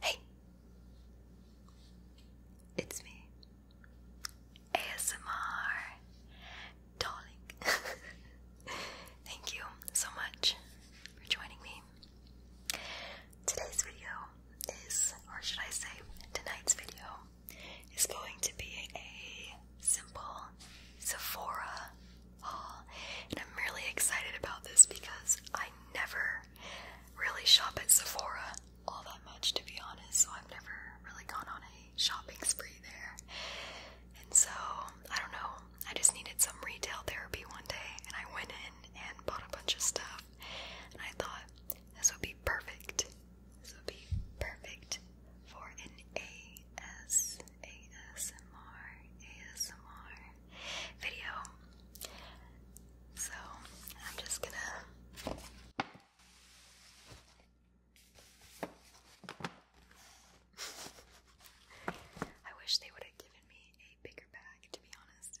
Hey, it's me, ASMR darling. Thank you so much for joining me. Today's video is, or should I say, tonight's video is going to be a simple Sephora and I'm really excited about this because I never really shop at Sephora all that much, to be honest. So I've never really gone on a shopping spree there. And so, I don't know, I just needed some retail therapy one day, and I went in and bought a bunch of stuff. And I thought this would be perfect. This would be perfect for an ASMR ASMR ASMR video. So I'm just gonna I wish they would have given me a bigger bag, to be honest.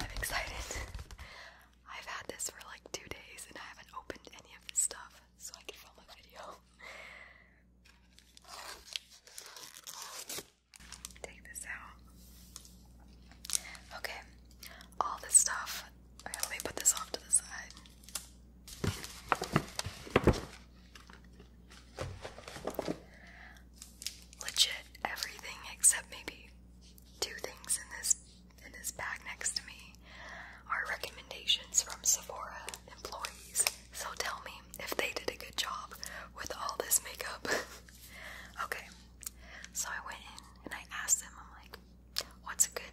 I'm excited. I've had this for like two days and I haven't opened any of this stuff so I can film a video. Take this out. Okay, all this stuff. let me put this off to the side. Legit everything except maybe two things in this in this bag next to me are recommendations from Sephora employees. So tell me if they did a good job with all this makeup. okay, so I went in and I asked them, I'm like, what's a good,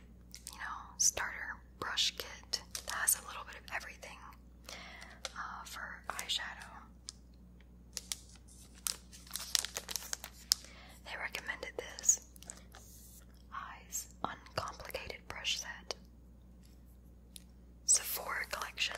you know, starter brush kit that has a little bit of everything uh, for eyeshadow? They recommended this. Eyes Uncomplicated Brush Set. Sephora Collection.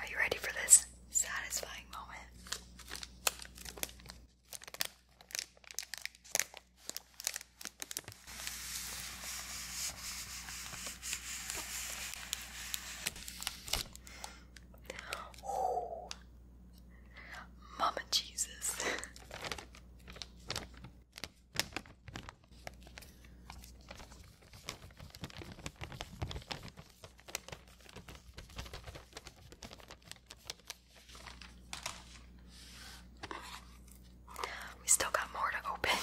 Are you ready for this satisfying moment? Mama Jesus. We still got more to open.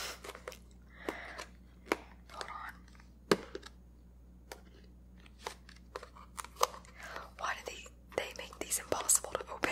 Hold on. Why do they they make these impossible to open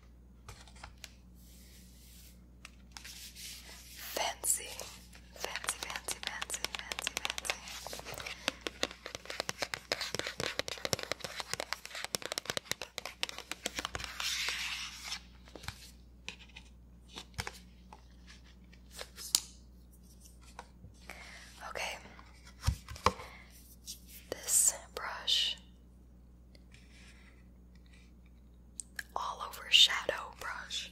Fancy, fancy, fancy, fancy, fancy, fancy. Okay, this brush all over shadow brush.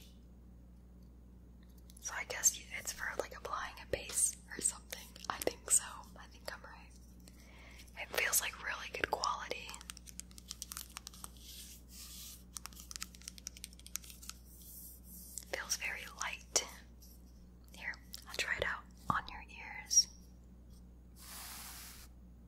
So I guess it's for like applying a base or something. I think so. I think I'm right. It feels like really good quality. Feels very light. Here, I'll try it out on your ears.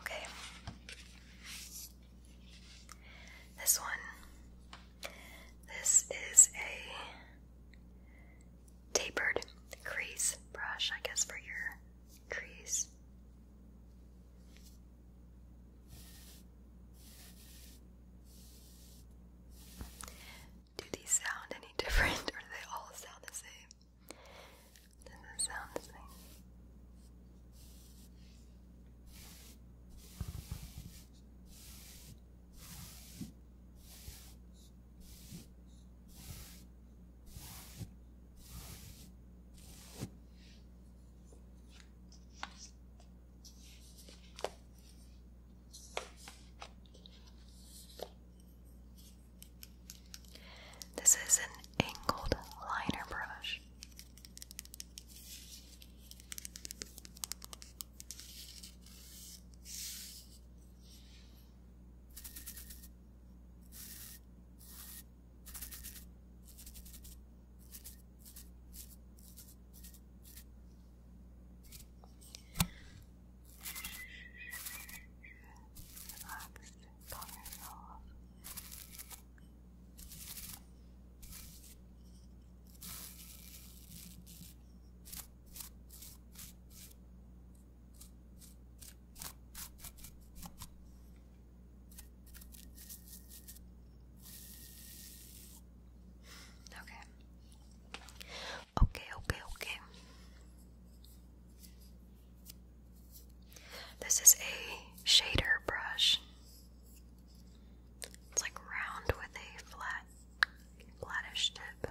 Okay. This one. This is a tapered crease brush, I guess, for your crease. Do these sound any different or do they all sound the same? Does it sound the same? This is an angled liner brush. Relaxed, calm yourself. Okay, Okay, okay, okay. This is a shader brush. It's like round with a flat, flattish tip.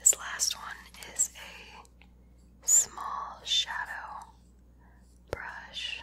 This last one is a small shadow brush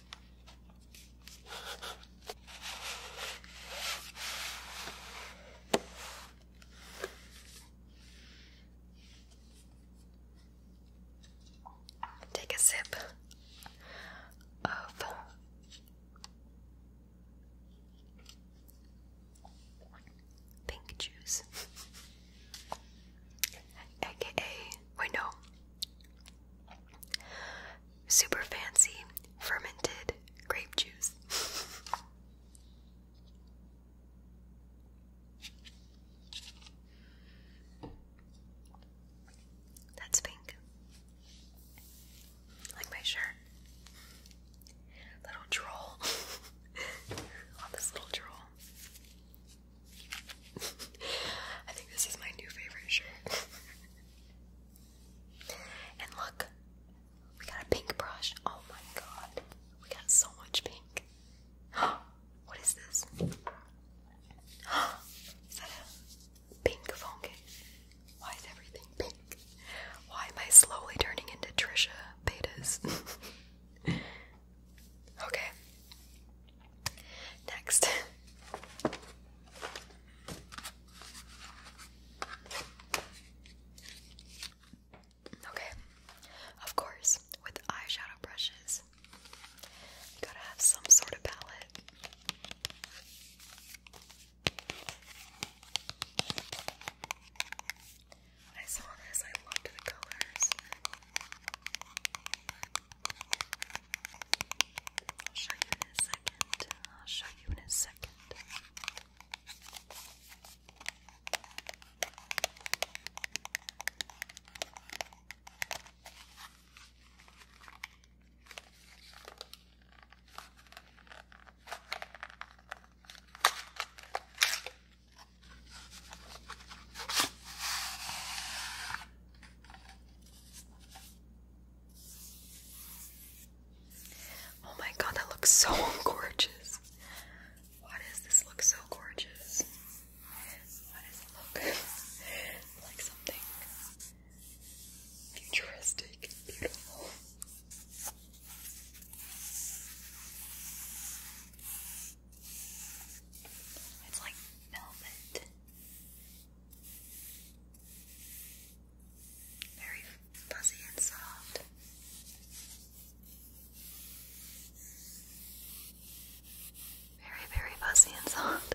Take a sip of pink juice, aka, wait, no, super fancy fermented grape juice. That's pink. Like my shirt. Little troll. All this little troll. I think this is my new favorite shirt. And look, we got a pink brush. Oh my god, we got so much pink. what is this? is that a pink phone Why is everything pink? Why am I slowly turning into Trisha Betas? okay. Next. Okay, of course, with eyeshadow brushes, you gotta have some sort of palette. I saw this, I loved the colors. I'll show you in a second. I'll show you in a second. Okay. Oh my god, that looks so gorgeous. Why does this look so gorgeous? Why does it look like something futuristic beautiful? It's like velvet. Very fuzzy and soft. Very, very fuzzy and soft.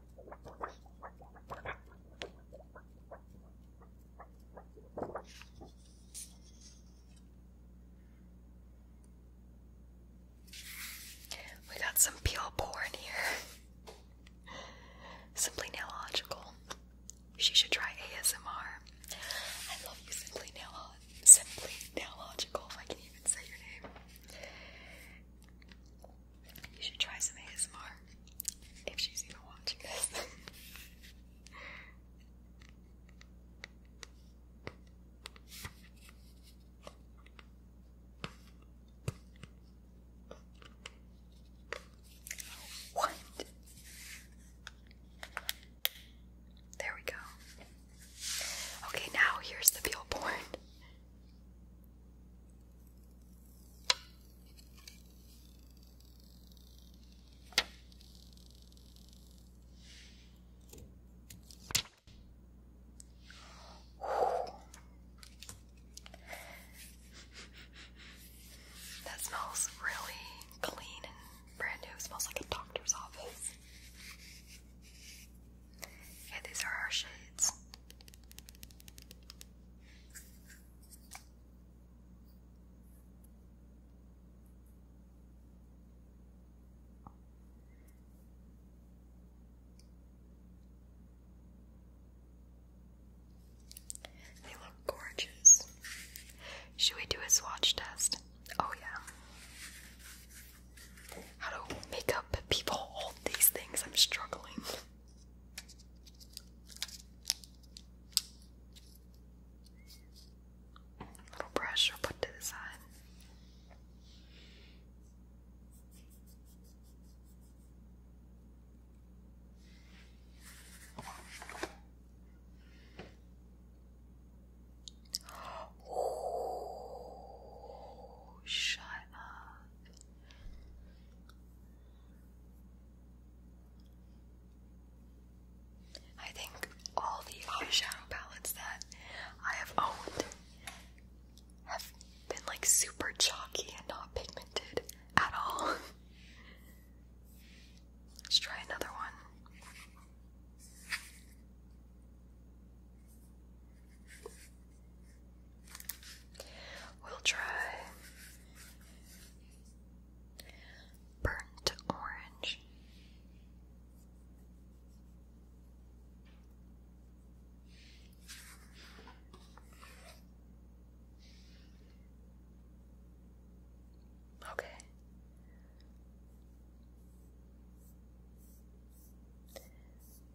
We got some pure porn here. Simply Nailogical. She should try ASMR. I love you, Simply Nail Simply Nailogical, if I can even say your name. You should try some ASMR if she's even watching this. What? There we go. Okay, now here's the peel porn. That smells really clean and brand new. smells like a doctor's office. Yeah, these are our shades. They look gorgeous. Should we do a swatch test? Oh, yeah. How do makeup people hold these things? I'm struggling. Little brush put to the side. Oh, shut up. I think all the eyeshadow palettes that I have owned have been like super chalky and not pigmented at all. Let's try another one. We'll try burnt orange. Okay.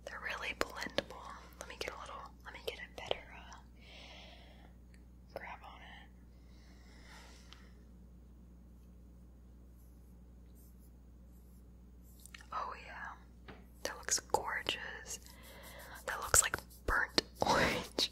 They're really blendable. Let me get a little, let me get a better uh, grab on it. Oh, yeah. That looks gorgeous. That looks like burnt orange.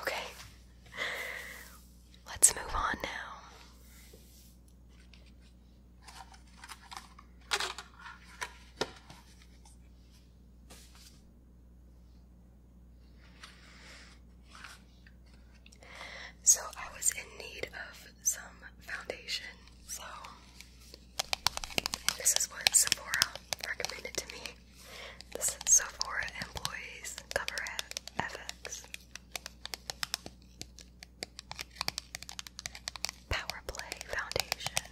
Okay, let's move on now. So I was in need of some foundation. So this is what Sephora recommended to me. This is Sephora Employees Cover FX Power Foundation.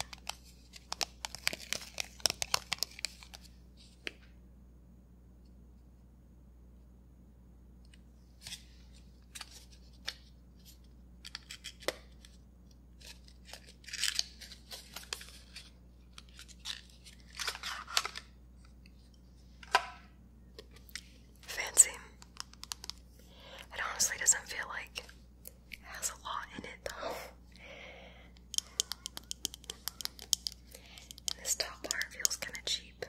Fancy. It honestly doesn't feel like it has a lot in it though. this top part feels kind of cheap.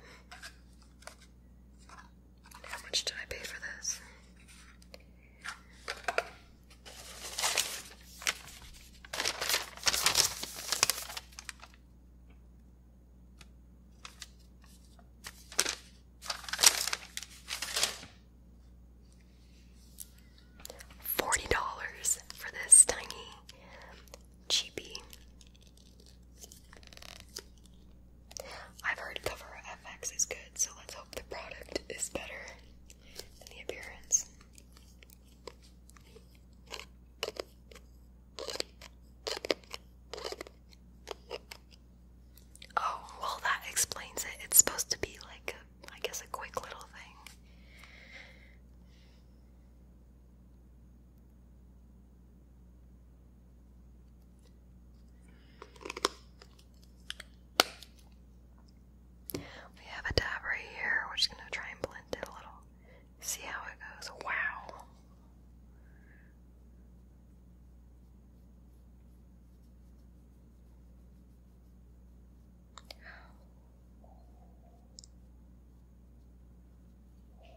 How much did I pay for this? Forty dollars for this tiny cheapy I've heard cover FX is good, so let's hope the product is better than the appearance. Oh, well, that explains it. It's supposed to be like, a, I guess, a quick little thing. We have a dab right here. We're just gonna try and blend it a little. See how it goes. Wow. What?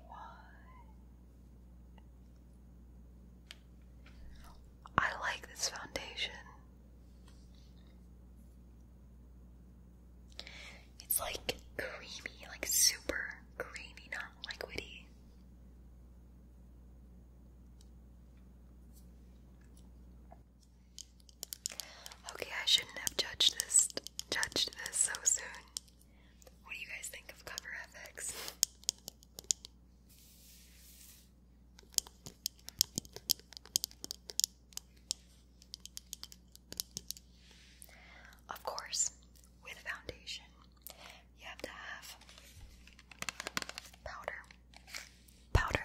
I like this foundation. It's like creamy, like super creamy, not liquidy. Okay, I shouldn't have judged this judged this so soon. What do you guys think of Cover FX? Of course, with foundation, you have to have powder. Powder.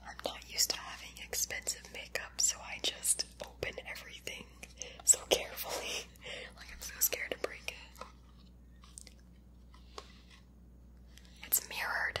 I'm not used to having expensive makeup, so I just open everything so carefully. like, I'm so scared to break it. It's mirrored.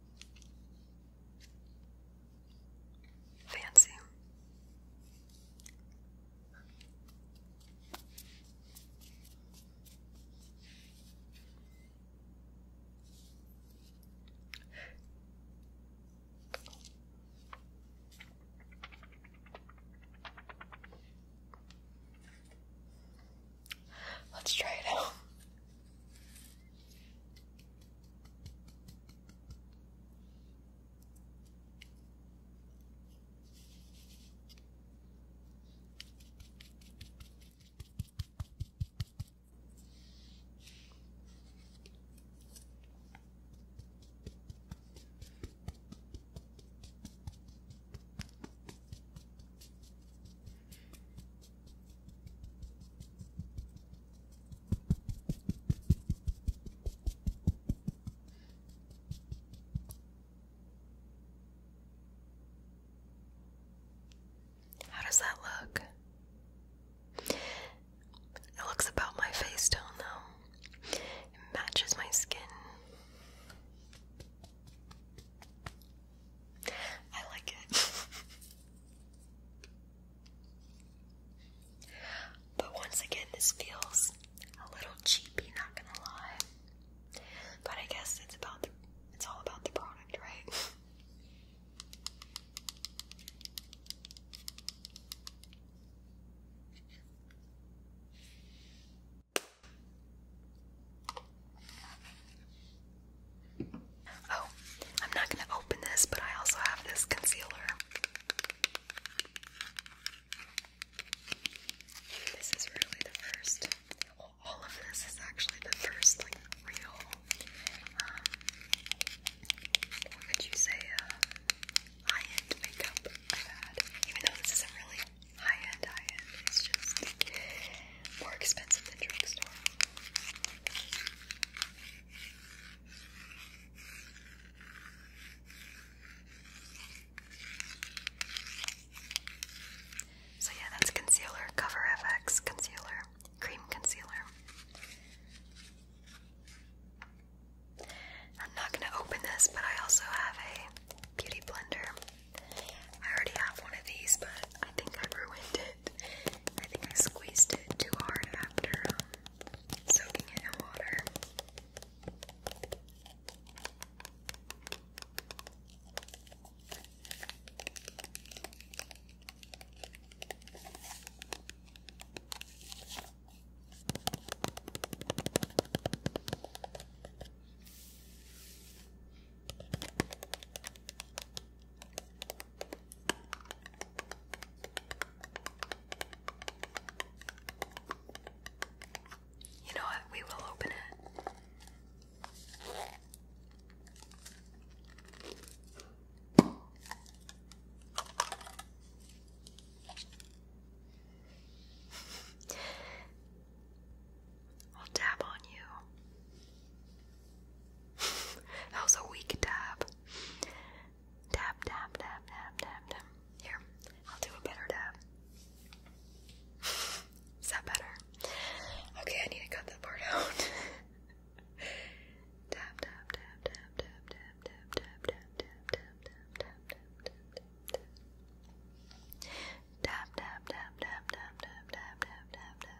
Fancy. Let's try it out. How does that look? It looks about my face tone, though. It matches my skin. I like it. but once again, this feels a little cheapy, not gonna lie. But I guess it's about the, it's all about the product, right? Oh, I'm not going to open this, but I also have this concealer. This is really the first. all of this is actually the first, like, real. Um, what could you say? Uh, high-end makeup I've had. Even though this isn't really high-end, high-end. It's just more expensive than drugstore. So yeah, that's concealer, Cover FX concealer, cream concealer. I'm not going to open this, but I also have a beauty blender. I already have one of these, but I think I ruined it. I think I squeezed it too hard after um, soaking it in water. You know what? We will open it. I'll dab on you that was a weak dab. Dab, dab, dab, dab, dab, dab. Here, I'll do a better dab. Is that better? Okay, I need to cut that part out. Dab, dab, dab, dab, dab, dab, dab, dab, dab, dab, dab, dab, dab, dab, dab, dab. Dab, dab, dab, dab, dab, dab, dab, dab, dab, dab.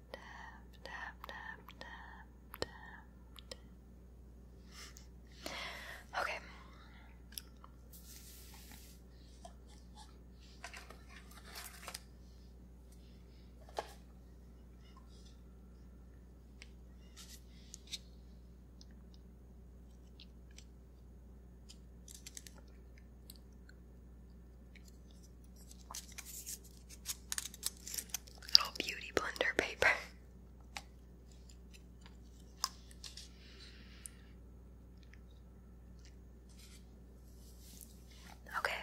tap, tap, tap, tap, tap, Okay. Little beauty blender paper. Okay.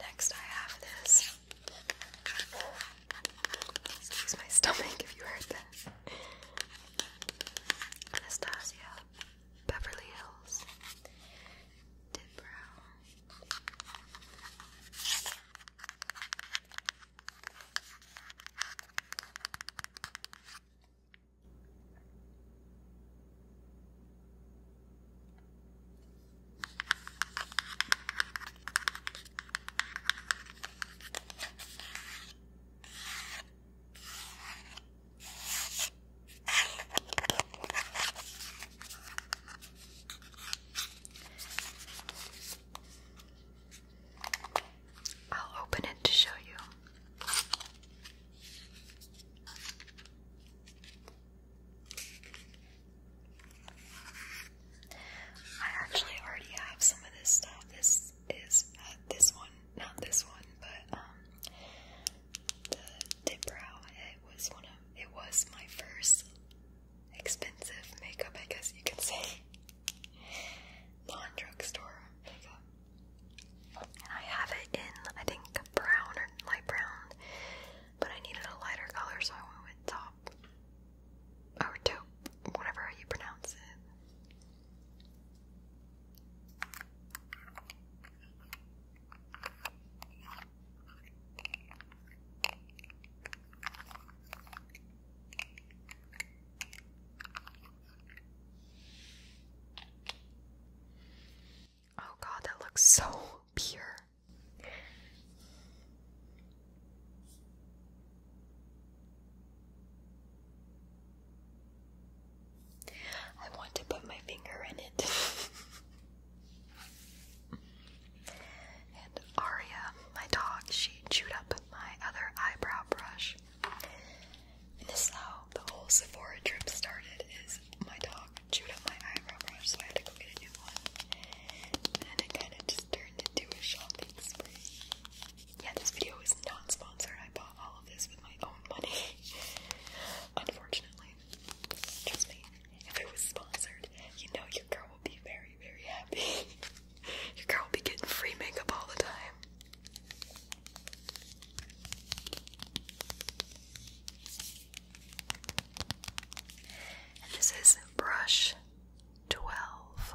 Next, I have this. Excuse my stomach if you heard that. Anastasia, Beverly Hills, Tim Brown. I'll open it to show you. I actually already have some of this stuff. This is this one, not this one, but um, the dip brow. It was one of, it was my first expensive makeup, I guess you can say, non-drugstore makeup. And I have it in, I think, brown or light brown, but I needed a lighter color, so I went with top or taupe, whatever you pronounce it. Oh god, that looks so pure. I want to put my finger in it. and Aria, my dog, she chewed up my other eyebrow brush. And this the whole Sephora trip started is my dog chewed up my eyebrow brush, so I had to go get a new one. And it kind of just turned into a shopping spree yeah, this video is not sponsored. I bought all of this with my own money. Unfortunately. Trust me, if it was sponsored, you know your girl will be very, very happy. your girl will be getting free makeup all the time. this is brush 12.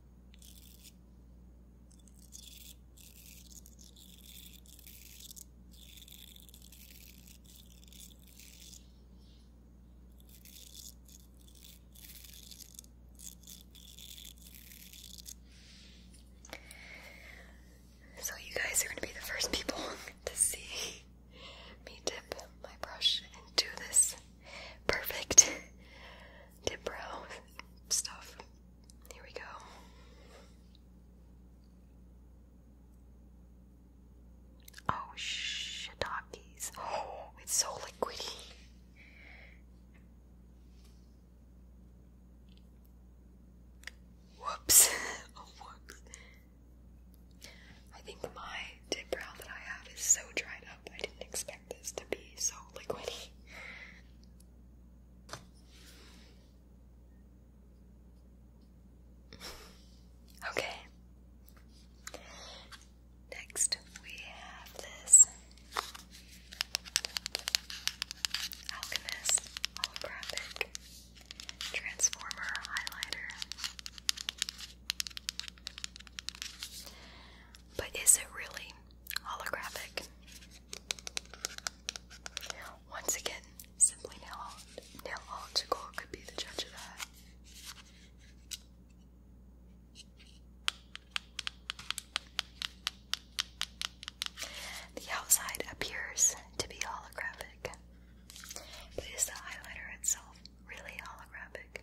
So, you guys are going to be the first people to see me dip my brush into this perfect dip brow stuff. Here we go. Oh, shiitakes. Oh, it's so liquidy. Whoops. oh, whoops. I think my dip brow that I have is so dried up. I didn't expect this to be so liquidy. okay. Next, we have this Alchemist holographic transformer highlighter. But is it really holographic? Once again, simply neological could be the judge of that. The outside appears to be holographic, but is the highlighter itself really holographic?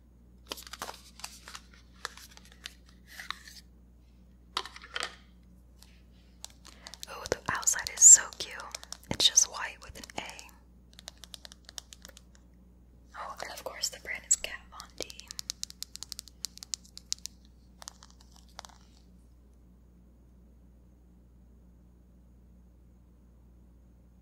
Oh, the outside is so cute. It's just white with an A. Oh, and of course the brand is Kat Von D.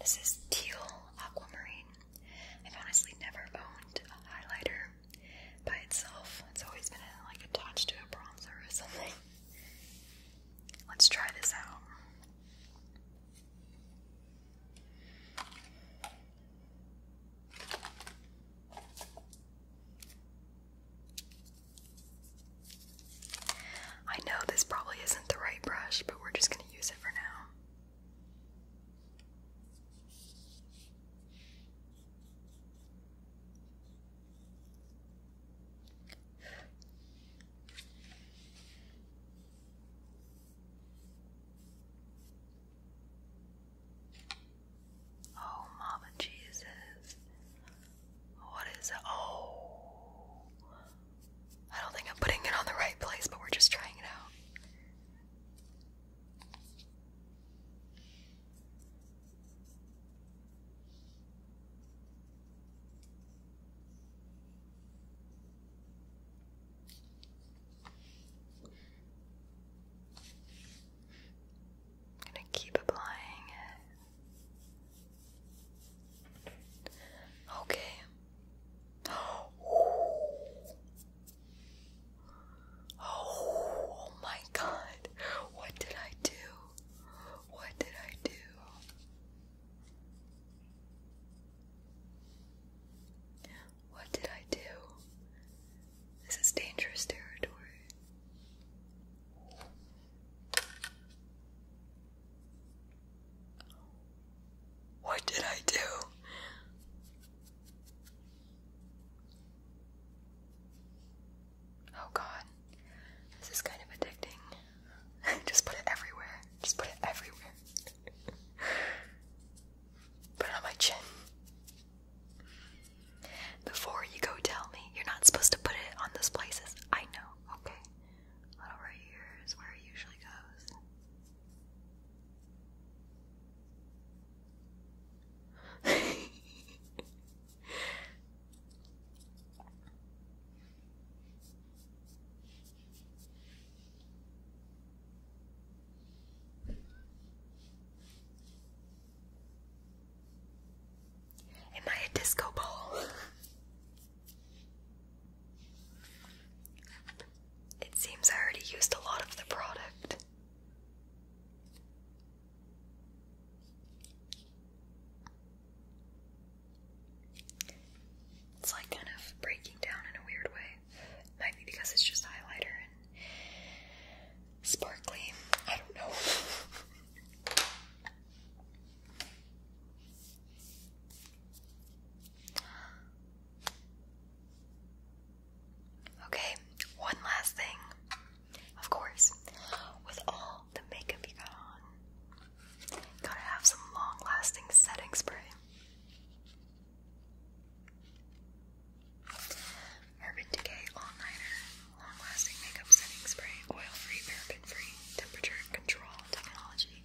This is Teal Aquamarine. I've honestly never owned a highlighter by itself. It's always been uh, like attached to a bronzer or something. Let's try this out. I know this probably isn't the right brush, but we're just going to use it for now. Oh, Mama Jesus. What is it? Oh, I don't think I'm putting it on the right place, but we're just trying it out. I'm going to keep applying it. Okay. Oh. my god. What did I do? What did I do? What did I do? This is dangerous territory. What did I do? Oh god. This is kind of addicting. Just put it everywhere. Just put it everywhere. put it on my chin. Before you go tell me. You're not supposed to put it on those places. I know. Okay. Not here is where it usually goes. Am I a disco ball? It seems I already used a lot of the product. It's like kind of breaking down in a weird way. Might be because it's just highlighter and sparkly. I don't know. Okay, one last thing. Of course, with all the makeup you got on, gotta have some long lasting setting spray. Urban Decay All Long Lasting Makeup Setting Spray Oil Free, Paraben Free, Temperature Control Technology.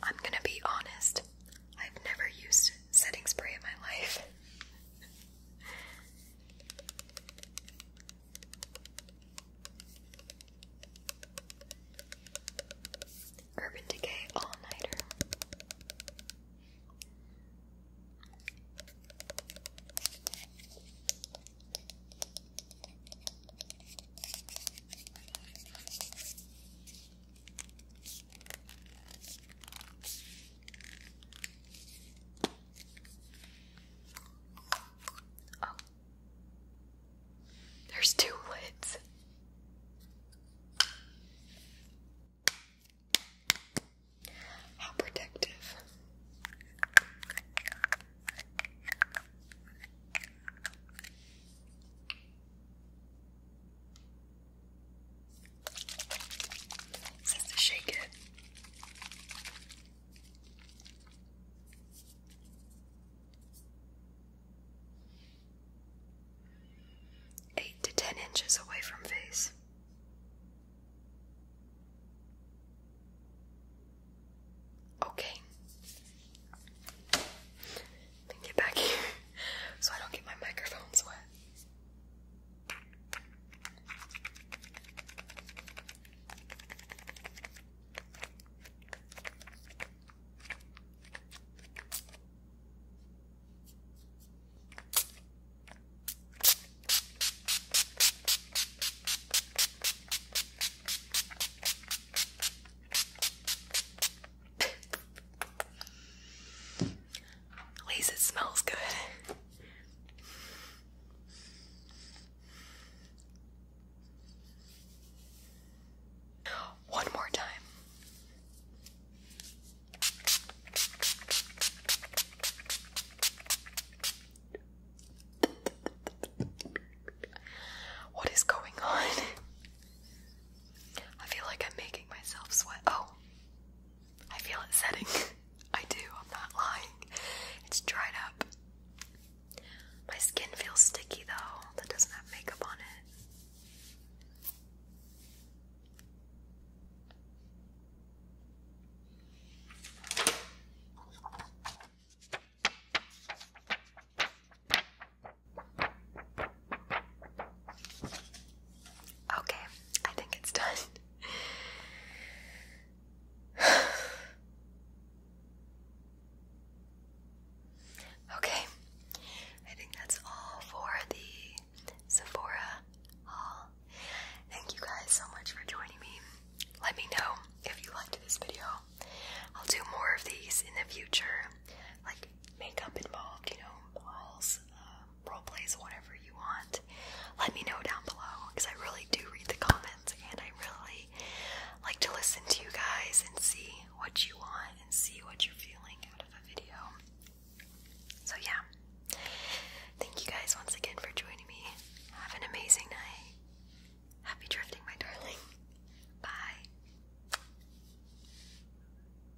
I'm gonna be honest, I've never used it setting spray in my life. Urban Decay All Nighter. Oh. There's two lids. How protective. It to shake it. Eight to ten inches away from face. Okay and get back here so I don't get my microphones wet. At least it smells good. One more time. What is going on? I feel like I'm making myself sweat. Oh, I feel it setting. I do, I'm not lying. It's dried up. My skin feels sticky though, that doesn't have makeup on it. Okay, I think it's done. okay, I think that's all for the Sephora haul. Thank you guys so much for joining me. Let me know if you liked this video. I'll do more of these in the future, like makeup involved, you know, hauls. Uh, role plays whatever you want. Let me know down below because I really do read the comments and I really like to listen to you guys and see what you want and see what you're feeling out of a video. So yeah. Thank you guys once again for joining me. Have an amazing night. Happy drifting, my darling. Bye.